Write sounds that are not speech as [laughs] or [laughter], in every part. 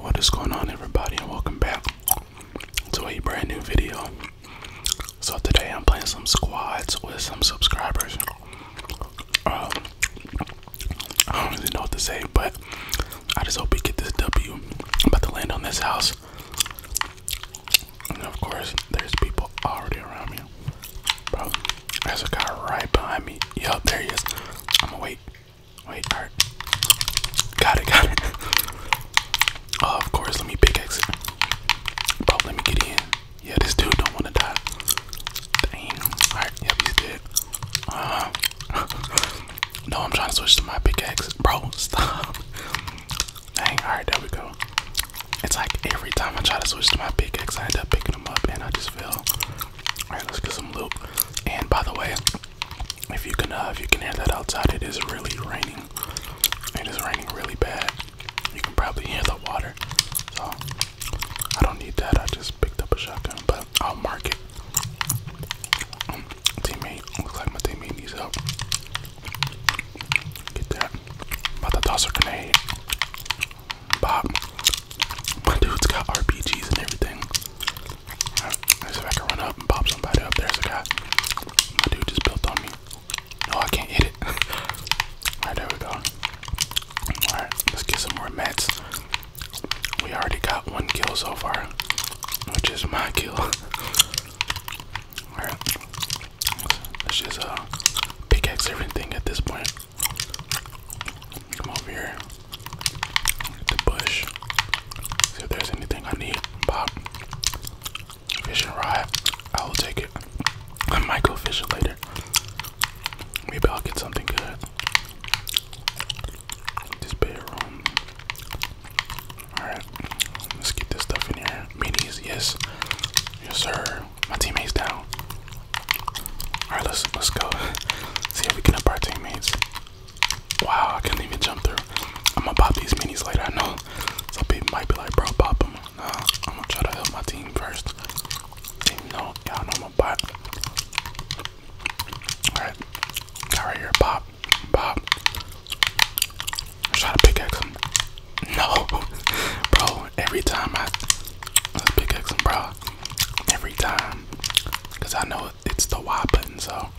What is going on, everybody, and welcome back to a brand new video. So, today I'm playing some squads with some subscribers. Um, I don't really know what to say, but I just hope we get this W. I'm about to land on this house. And of course, there's people already around me. Bro, there's a guy right behind me. Yup, there he is. I'm gonna wait. Wait, alright. Got it, got it. [laughs] Oh, of course, let me pick it. Bro, let me get in. Yeah, this dude don't want to die. Dang. Alright, yep, he's dead. Uh, [laughs] no, I'm trying to switch to my pickaxe. Bro, stop. [laughs] Dang, alright, there we go. It's like every time I try to switch to my pickaxe, I end up picking them up and I just feel. All right, let's get some loot. And by the way, if you can, uh, if you can hear that outside, it is really raining. It is raining really bad. You can probably hear the water. So I don't need that. I just picked up a shotgun, but I'll mark it. Um, teammate, looks like my teammate needs help. Get that. About to toss a grenade. Bob. My dude's got RPGs and everything. see if I can run up and pop somebody up. There's a guy. My dude just built on me. No, I can't hit it. [laughs] Alright, there we go. Alright, let's get some more mats. We already got one kill so far, which is my kill. [laughs] Alright. Let's just uh, pickaxe everything at this point. Come over here. Get the bush. See if there's anything I need. Pop. Fish rod. I will take it. I might go fishing later. Maybe I'll get something good. This bedroom. Alright. Let's get this stuff in here. Minis, yes. Yes, sir. My teammates down. Alright, let's let's go. See if we can help our teammates. Wow, I couldn't even jump through. I'ma pop these minis later. I know some people might be like, bro, pop them. I'm gonna try to help my team first. Even though y'all know I'm a bot. Alright, right here. Pop, pop. Try to pickaxe him. No, [laughs] bro. Every time I let pickaxe him, bro every time because I know it's the Y button. So, all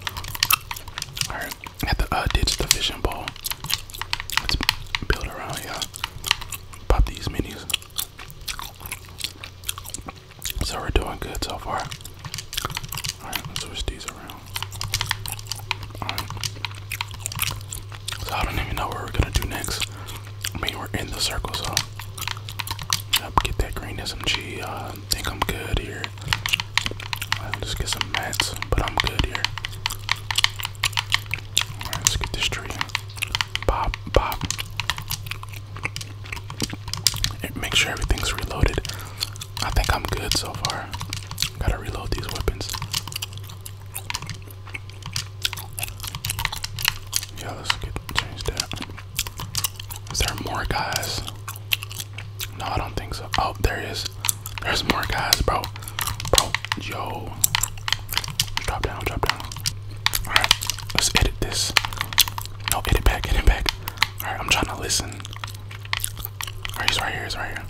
right, at the uh, ditch the fishing Let's build around here. Pop these minis. So we're doing good so far. All right, let's switch these around. All right. So I don't even know what we're gonna do next. I mean, we're in the circle, so I'll get that green SMG. Uh, I uh, think I'm good here. I'll just get some mats, but I'm good here. Alright, let's get this tree. Pop, pop. Make sure everything's reloaded. I think I'm good so far. Gotta reload these weapons. Yeah, let's get change that. Is there more guys? No, I don't think so. Oh, there is. There's more guys, bro. Bro, yo. Drop down, drop down. Alright, let's edit this. No, edit back, edit back. Alright, I'm trying to listen. Alright, he's right here, he's right here.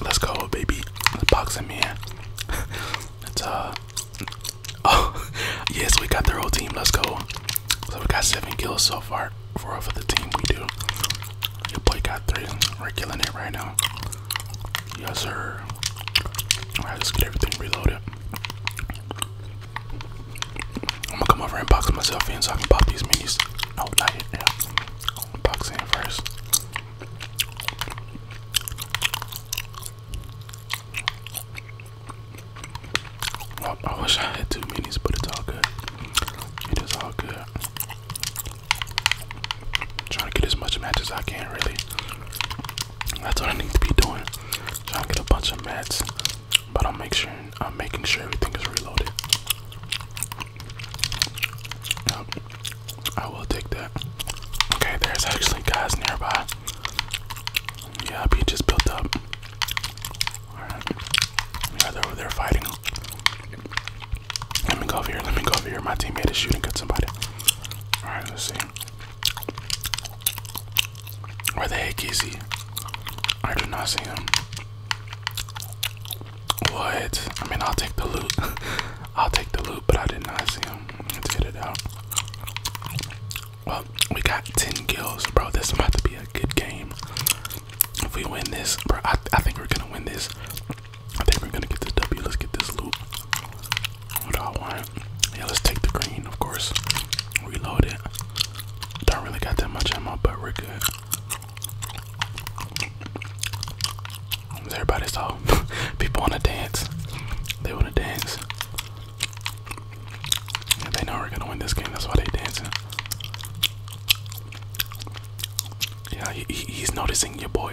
Let's go, baby. The box in man. [laughs] It's uh [laughs] oh [laughs] yes, we got the whole team. Let's go. So we got seven kills so far for of the team. We do. Your boy got three. We're killing it right now. Yes, sir. I just get everything reloaded. I'm gonna come over and box myself in so I can pop these minis. No, not yet. Yeah. Box in first. I wish I had two minis, but it's all good. It is all good. trying to get as much match as I can, really. That's what I need to be doing. Trying to get a bunch of mats, but I'm make sure I'm making sure everything is reloaded. I will take that. Okay, there's actually guys nearby. Yeah, be just built up. Alright. Yeah, they're over there fighting. Let me go over here. Let me go over here. My teammate is shooting at somebody. Alright, let's see. Where the heck is he? I do not see him. What? I mean, I'll take the loot. [laughs] I'll take the loot, but I did not see him. Let's get it out. Well, we got 10 kills, bro. This is about to be a good game. If we win this, bro, I, think we're gonna win this. I think we're gonna get this W. Let's get this loot. What do I want? Yeah, let's take the green, of course. Reload it. Don't really got that much ammo, but we're good. Everybody saw [laughs] people want to dance. They want to dance. And they know we're gonna win this game. That's why they dancing. Yeah, he's noticing you, boy. [laughs]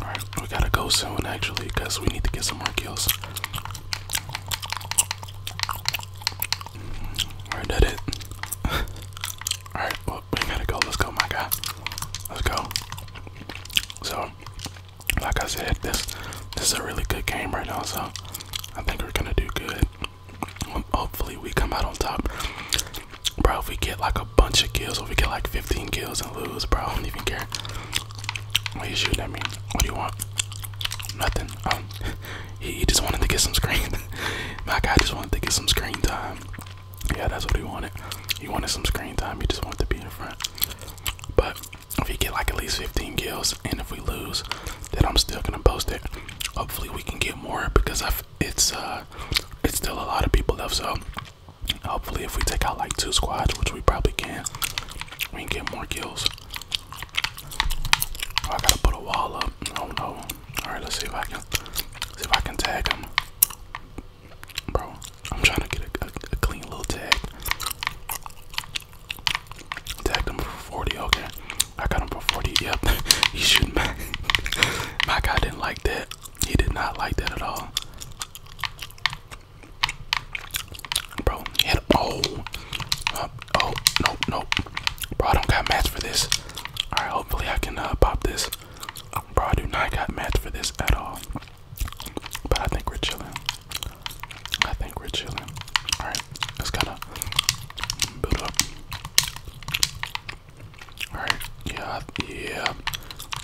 All right, we gotta go soon actually, cause we need to get some more kills. Alright, that it. Alright, well, we gotta go. Let's go, my guy. Let's go. So, like I said, this this is a really good game right now, so I think we're gonna do good. Hopefully, we come out on top. Bro, if we get like a bunch of kills, or we get like 15 kills and lose, bro, I don't even care. Why you shooting at me? What do you want? Nothing. Um, he, just wanted to get some screen. [laughs] My guy just wanted to get some screen time. Yeah, that's what he wanted. He wanted some screen time. He just wanted to be in front. But if we get like at least 15 kills, and if we lose, then I'm still gonna post it. Hopefully, we can get more because it's uh, it's still a lot of people left. So hopefully, if we take out like two squads, which we probably can, we can get more kills. Oh, I gotta put a wall up. Oh no. Alright, let's see if I can see if I can tag him. Bro, I'm trying to get a, clean little tag. Tagged him for 40, okay. I got him for 40, yep. He's shooting back. My guy didn't like that. He did not like that at all. Bro, he Oh, uh, oh, nope, nope. Bro, I don't got mats for this. All right, hopefully I can uh, pop this. Bro, I do not got mats for this at all. But I think we're chilling. I think we're chilling. All right, let's gotta build up. All right, yeah, yeah,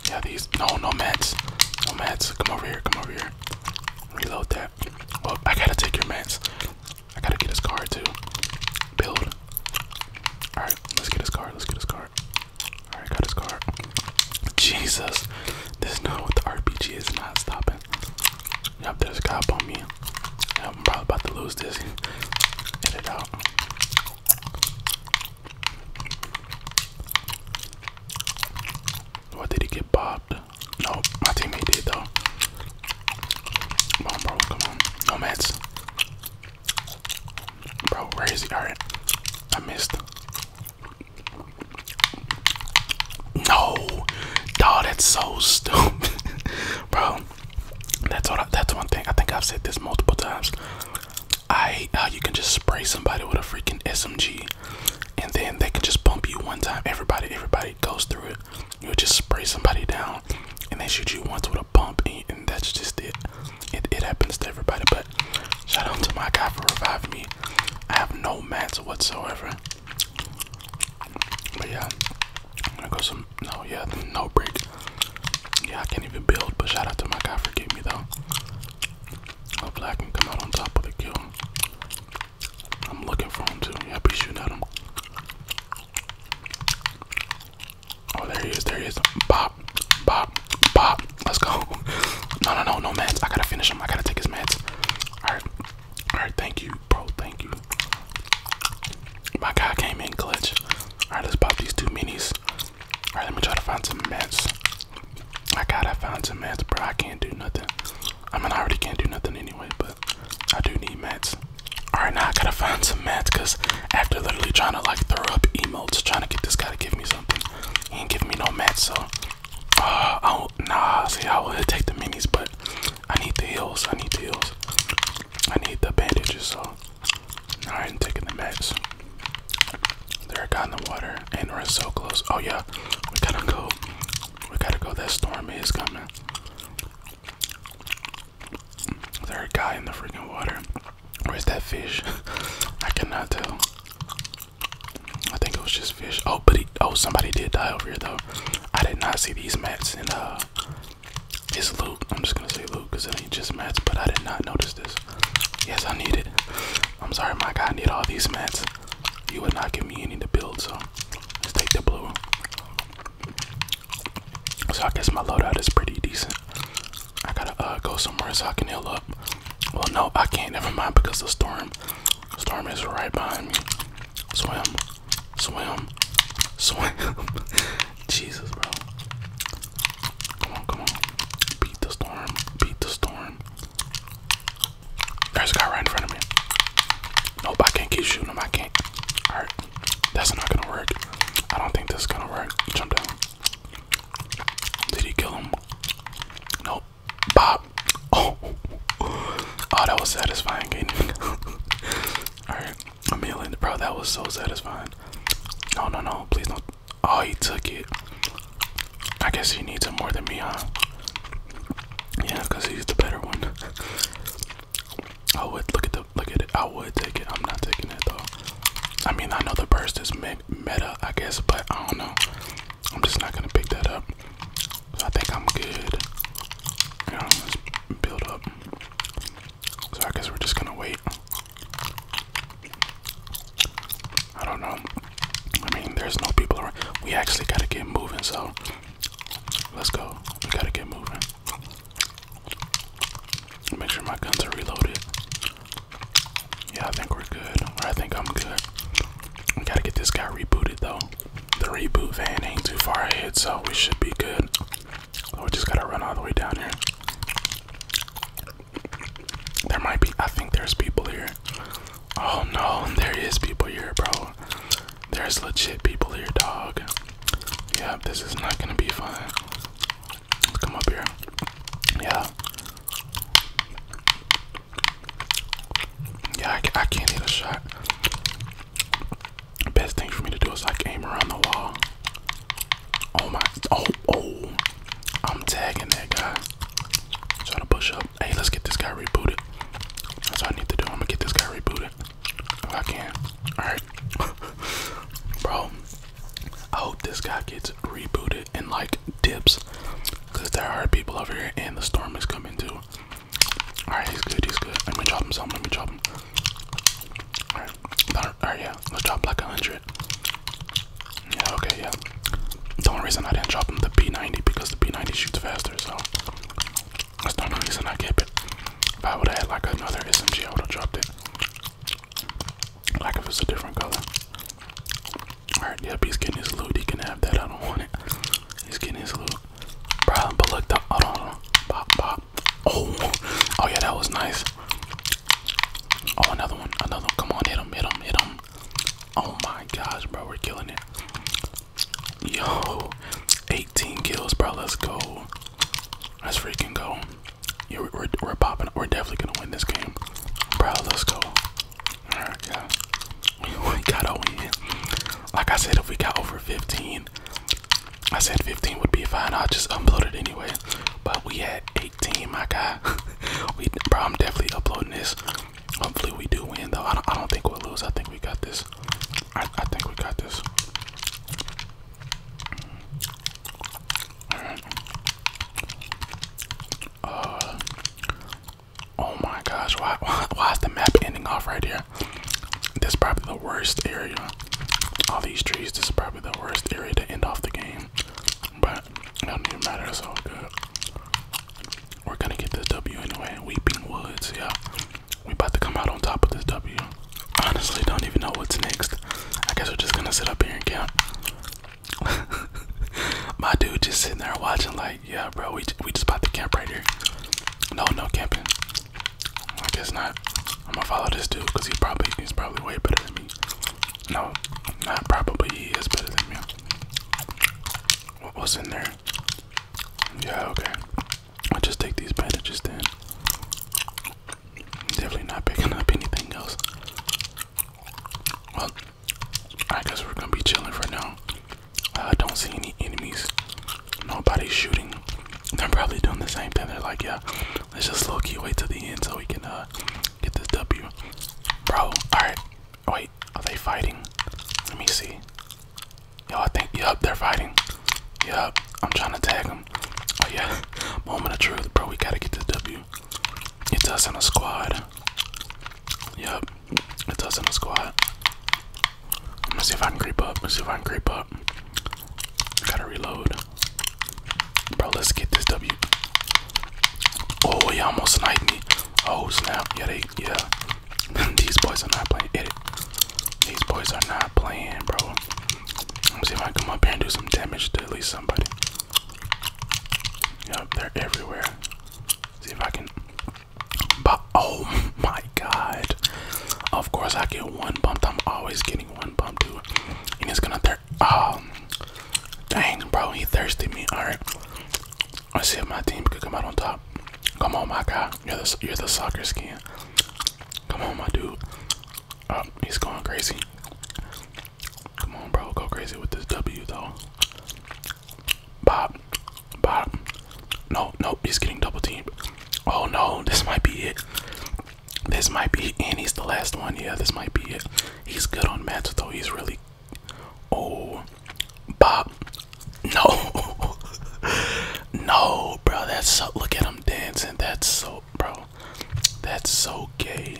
yeah. These no, no mats, no mats. Come over here, come over here. Reload that. Well, I gotta take your mats. I gotta get his card too. Build. Alright, let's get his card. Let's get his card. Alright, got his card. Jesus. This is not what the RPG is not stopping. Yup, there's a cop on me. I'm probably about to lose this. Hit it out. What did he get bobbed? No, my teammate did though. Come on, bro. Come on. No mats. Bro, where is he? Alright. I missed. No. Dog, that's so stupid. [laughs] bro. That's what that's one thing. I think I've said this multiple times. I how uh, you can just spray somebody with a freaking SMG and then they can just bump you one time. Everybody, everybody goes through it. You'll just spray somebody down, and they shoot you once with a bump, and, that's just it. it. happens to everybody. But shout out to my guy for reviving me. I have no mats whatsoever. But yeah, I'm gonna go some. No, yeah, no break. Yeah, I can't even build. But shout out to my guy for giving me though. Hopefully, I can come out on top of the kill. I'm looking for him too. Yeah, I'll be shooting at him. Oh, there he is. There he is. Bop, bop, bop. Let's go. No, no, no, no meds. I gotta finish him. I gotta take his meds. All right, all right. Thank you, bro. Thank you. My guy came in clutch. All right, let's pop these two minis. All right, let me try to find some meds. I gotta find some meds, bro. I can't do nothing. I mean, I already can't do nothing anyway, but I do need mats. Alright, now I gotta find some mats because after literally trying to like throw up emotes, trying to get this guy to give me something, he ain't giving me no mats, so. Uh, I nah, see, I would take the minis, but I need the heels. I need the heels. I need the bandages, so. i ain't taking the mats. They're got in the water, and we're so close. Oh, yeah, we gotta go. We gotta go. That stormy is coming. Is there a guy in the freaking water? Where's that fish? [laughs] I cannot tell. I think it was just fish. Oh, but oh, somebody did die over here though. I did not see these mats and uh, it's Luke. I'm just gonna say Luke because it ain't just mats, but I did not notice this. Yes, I need it. I'm sorry, my guy. I need all these mats. You would not give me any to build, so let's take the blue. So I guess my loadout is pretty decent. I gotta uh, go somewhere so I can heal up. Well, no, I can't. Never mind, because the storm, storm is right behind me. Swim, swim, swim. [laughs] Jesus, bro. Come on, come on. Beat the storm. Beat the storm. There's a guy right in front of me. Nope, I can't keep shooting him. I can't. Alright, that's not gonna work. I don't think this is gonna work. Jump down. Did he kill him? Nope. Bob. [laughs] Oh. Oh, that was satisfying. [laughs] Alright, I'm healing. Bro, that was so satisfying. No, no, no. Please don't. Oh, he took it. I guess he needs it more than me, huh? Yeah, because he's the better one. I would look at the look at it. I would take it. I'm not taking it though. I mean, I know the burst is meta, I guess, but I don't know. I'm just not gonna pick that up. I think I'm good. Yeah, let build up. So I guess we're just gonna wait. I don't know. I mean, there's no people around. We actually gotta get moving, so let's go. We gotta get moving. Make sure my guns are reloaded. Yeah, I think we're good. I think I'm good. We gotta get this guy rebooted, though. The reboot van ain't too far ahead, so we should be good. we just gotta run all the way down here. There might be, I think there's people here. Oh no, [laughs] there is people here, bro. There's legit people here, dog. Yeah, this is not gonna be fun. Let's come up here. Yeah. Yeah, I, can't hit a shot. Best thing for me to do is like aim around the wall. Oh my, oh, oh. I'm tagging that guy. Try to push up. Hey, let's get this guy rebooted. That's all I need to do. I'm gonna get this guy rebooted. If I can. Alright. [laughs] Bro, I hope this guy gets rebooted and like dips. Cause there are people over here and the storm is coming too. Alright, he's good, he's good. Let me drop him something, let me drop him. Alright, alright, yeah, let's drop like a hundred. Yeah, okay, yeah. The only reason I didn't drop him the P90 because the P90 shoots faster, so that's the only reason I kept it. If I would have had like another SMG, I would have dropped it. Like if it's a different color. Alright, yep, he's getting his loot. He can have that. I don't want it. He's getting his loot. Problem, but look, the, hold on, hold on. Oh, [laughs] oh yeah, that was nice. Oh, another one, another one. Come on, hit him, hit him, hit him. Oh my gosh, bro, we're killing it. Yo, 18 kills, bro. Let's go. Let's freaking go. we're, popping. We're definitely gonna win this game, bro. Let's go. We, gotta win. Like I said, if we got over 15, I said 15 would be fine. I'll just upload it anyway. But we had Team, I got. [laughs] we, bro, I'm definitely uploading this. Hopefully, we do win though. I don't, I don't think we'll lose. I think we got this. I, I think we got this. Uh, oh my gosh! why, [laughs] why is the map ending off right here? This is probably the worst area. All these trees. This is probably the worst area to end off the game. But it don't even matter, it's all good. We're gonna get this W anyway. Weeping Woods, yeah. We about to come out on top of this W. Honestly, don't even know what's next. I guess we're just gonna sit up here and count. [laughs] My dude just sitting there watching, like, yeah, bro, we we just about to camp right here. No, no camping. I guess not. I'm gonna follow this dude because he's probably he's probably way better no, not probably. He is better than me. What was in there? Yeah, okay. i just take these bandages then. Definitely not picking up anything else. Well, I guess we're gonna be chilling for now. I don't see any enemies. Nobody's shooting. I'm probably doing the same thing. They're like, yeah, let's just slow key wait till the end so we can uh get this W. Bro, all right. Wait, are they fighting? Let me see. Yo, I think yup, they're fighting. Yup, I'm trying to tag them. Oh yeah, [laughs] moment of truth, bro. We gotta get this W. It does in a squad. Yup, it does in a squad. Let's see if I can creep up. Let's see if I can creep up. Gotta reload. Bro, let's get this W. Oh, he almost sniped me. Oh, snap. Yeah, they, yeah. [laughs] These boys are not playing. It. These boys are not playing, bro. Let's see if I can come up here and do some damage to at least somebody. Yep, they're everywhere. see if I can. oh [laughs] my god. Of course, I get one bumped. I'm always getting one pump too. he's gonna thirst. Oh, um, dang, bro, he thirsty me. All right, let's see if my team could come out on top. Come on, my guy. You're the you're the soccer skin. Come on, my dude. Oh, he's going crazy. Come on, bro, go crazy with this W though. Bob, Bob. No, no, he's getting double teamed. Oh no, this might be it. This might be and he's the last one. Yeah, this might be it. He's good on matches though. He's really Oh Bob No [laughs] No bro that's look at him dancing. That's so bro. That's so gay.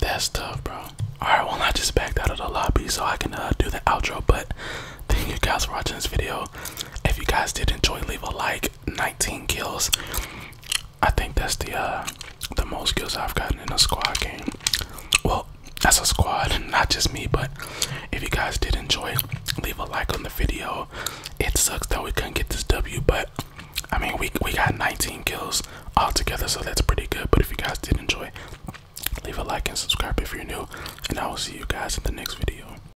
That's tough bro. Alright well I just backed out of the lobby so I can uh, do the outro but thank you guys for watching this video. If you guys did enjoy leave a like 19 kills. I think that's the uh, the most kills I've gotten in a squad game. Well, that's a squad, [laughs] not just me. But if you guys did enjoy, leave a like on the video. It sucks that we couldn't get this W, but I mean we we got 19 kills all together, so that's pretty good. But if you guys did enjoy, leave a like and subscribe if you're new, and I will see you guys in the next video.